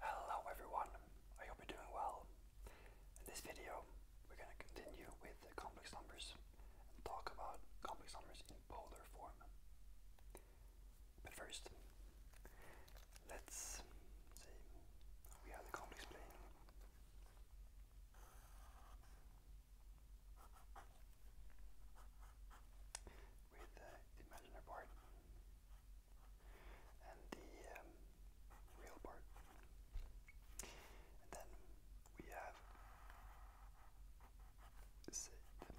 Hello everyone, I hope you're doing well. In this video, we're going to continue with the complex numbers and talk about complex numbers in polar form. But first, let's see, we have the complex plane. With the imaginary part, and the um, real part. then we have sit uh,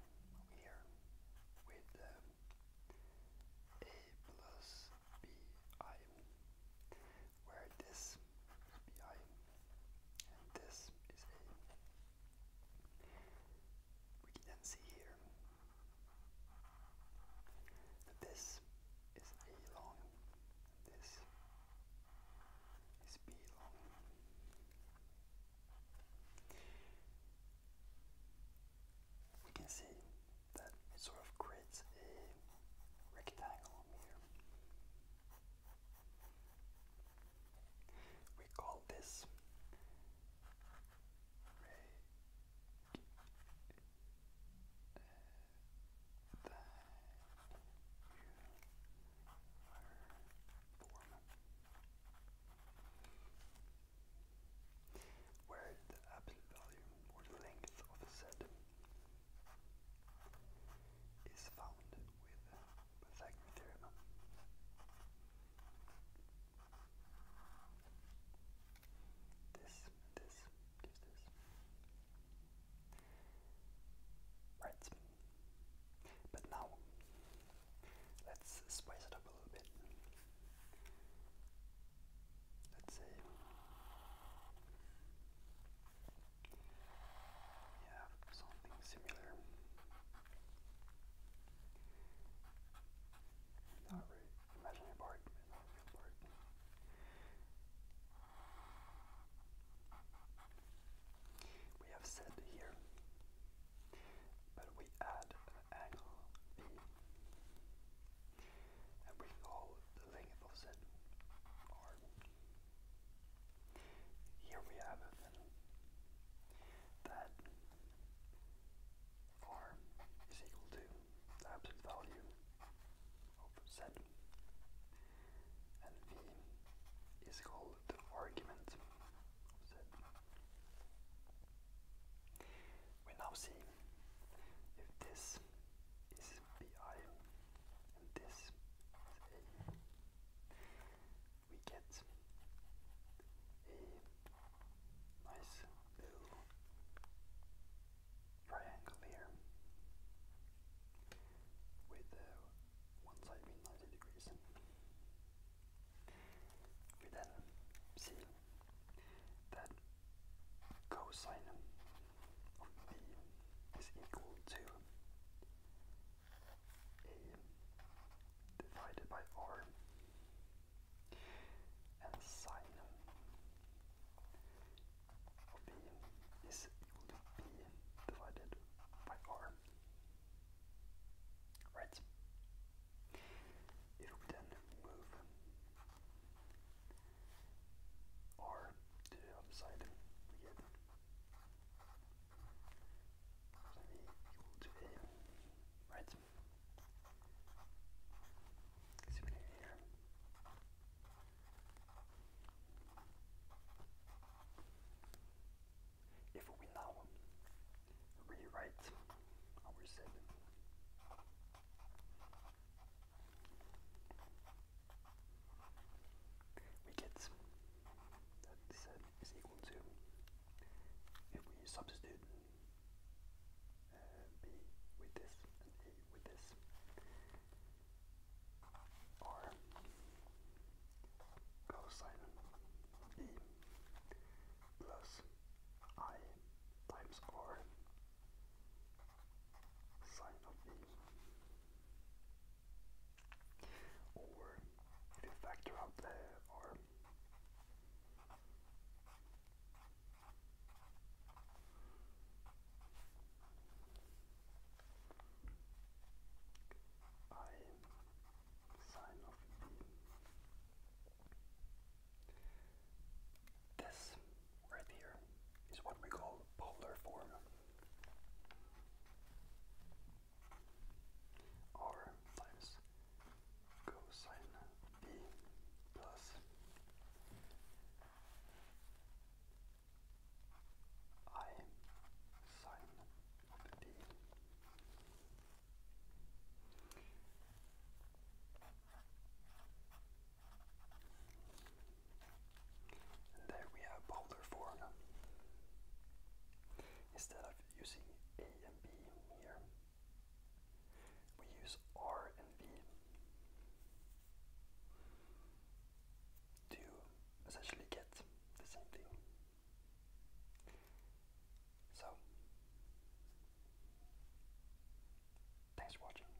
here with um, a plus bi, where this bi and this is a. We can see here that this is A long, this is B long. We can see that it sort of creates a rectangle here. We call this Ray the form. Where the absolute value or length of Z is found with Pythagorean theorem. This, this, gives this. Right. But now, let's spice it up a little bit. Let's say we something similar. Not really imaginary part, We have said here, but we add angle B, and we call the length of said here we have that r is equal to the absolute value of z, and v is called the argument of z. We now see if this is bi and this is a we get a nice little triangle here with uh, one side being 90 degrees. We then see that cosine of b is equal to a divided by r and sine b is equal to b divided by r. Right. If we then move r to the other side, right? If we now rewrite our 7 we get that z is equal to, if we substitute uh, b with this and a with this, r cosine e plus i times r sine of e or if you factor out the arm sign off this right here is what we call polar form r times cosine b plus i sine of b there we have polar form. Instead of using A and B here, we use R and V to essentially get the same thing. So, thanks for watching.